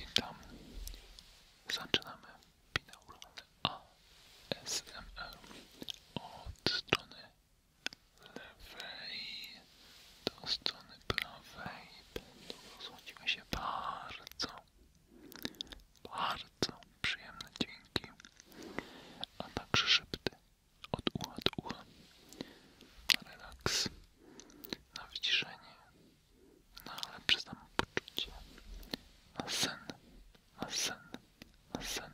Witam. Zaczynamy binauralny ASMR od strony lewej do strony prawej. Będą się bardzo, bardzo przyjemne dźwięki, a także szybty od ucha do ucha. Relaks na wyciszenie, no, na lepsze poczucie, na sen, na sen, na sen.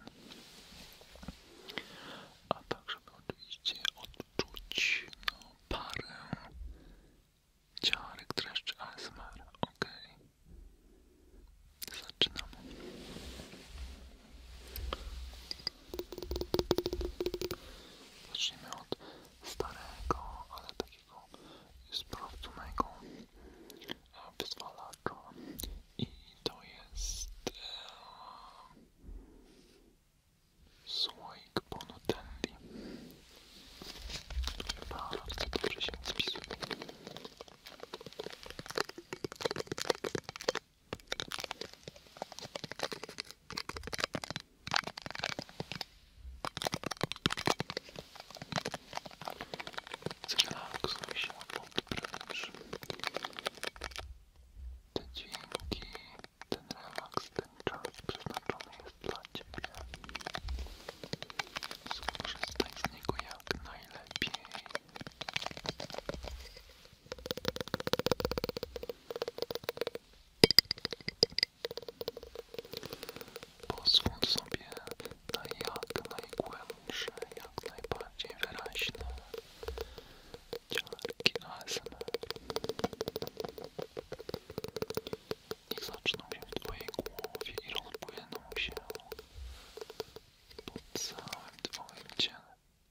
A tak, żeby oczywiście odczuć no, parę ciarek dreszczy ASMR. Ok. Zaczynamy. Zacznijmy od starego, ale takiego sprawdzonego e, wyzwalacza i to jest e, słoik Bonutelli bardzo dobrze się spisuje Zrelaksuj się podpręż. Te dźwięki, ten relaks, ten czas przeznaczony jest dla Ciebie. Skorzystaj z niego jak najlepiej. Pozwól sobie na jak najgłębsze, jak najbardziej wyraźne ciarki ASMR. Niech zaczną się w Twojej głowie i rozpłyną się po całym Twoim ciele.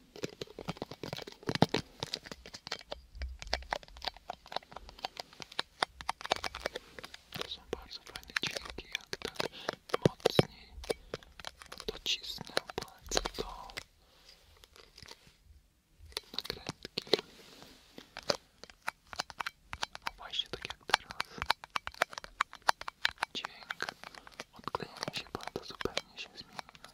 To są bardzo fajne dźwięki, jak tak mocniej docisnę palce do nakrętki. O no właśnie tak jak teraz. Dźwięk odklejania się palca zupełnie się zmienia.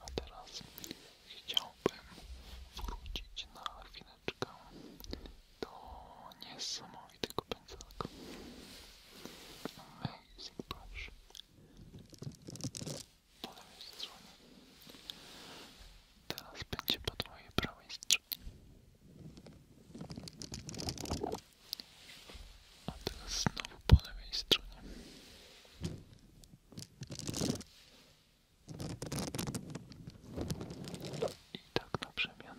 A teraz chciałbym wrócić na chwileczkę do niesamowitego pędzelka. Amazing brush. Po lewej stronie. Teraz będzie po twojej prawej stronie. A teraz znowu po lewej stronie. I tak na przemian.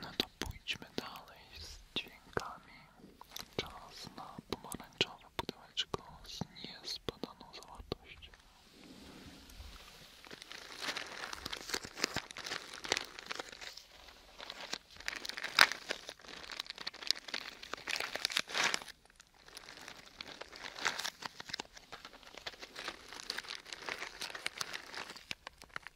No to pójdźmy dalej z dźwiękami. Czas na pomarańczowe pudełeczko z niezbadaną zawartością.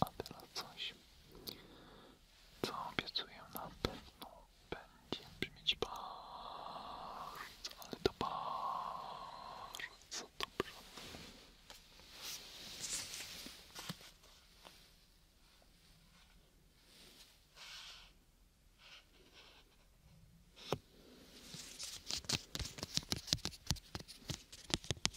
A teraz coś, co obiecuję na pewno będzie brzmieć bardzo, ale to bardzo dobrze.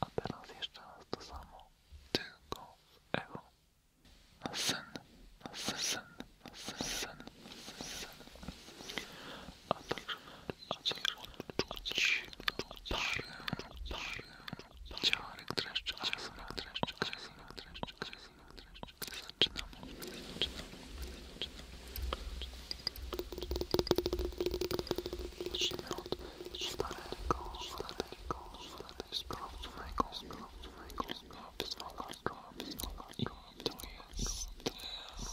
A teraz jeszcze raz to samo, tylko z echo. Na sen, na sen, sen, na sen, sen, na sen, A także, a także czuć parę, parę, Ciarek dreszczy, ciarek dreszczy, kresenek dreszczy, kresenek dreszczy, zaczynamy, zaczynamy, zaczynamy. Zacznijmy od starego, starego, starego, sprawdzonego, sprawdzonego, wyzwalanego, wyzwalanego i to jest test, test, test, test.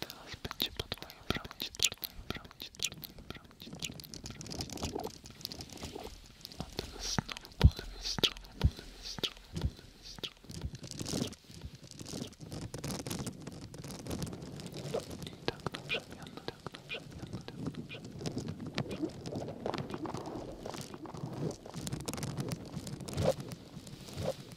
Teraz będzie po twojej bramie, bramie, bramie, bramie, bramie, bramie, bramie. A teraz znowu po lewej stronie, po lewej stronie, po lewej stronie, po lewej stronie. I tak na przemian, tak na przemian, tak na przemian, tak na przemian.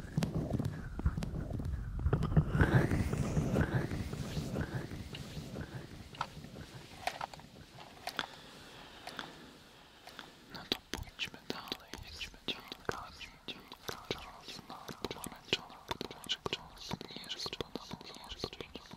No to pójdźmy dalej, jedźmy ciągle, ciągle, czarna, pomarańczona, podłożek, czas, nie jest czarna, podłożek, czarna,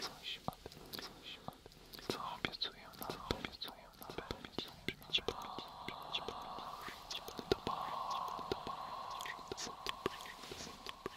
coś, coś, co obiecuję nam, co obiecuję nam, będzie brzmieć bardzo, brzmieć bardzo, to bardzo, to bardzo, to dobrze, to dobrze, to dobrze.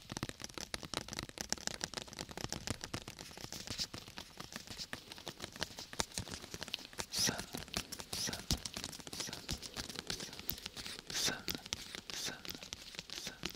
Sun, sun, sun, sun, sun, sun, sun, sun, sun, sun, sun.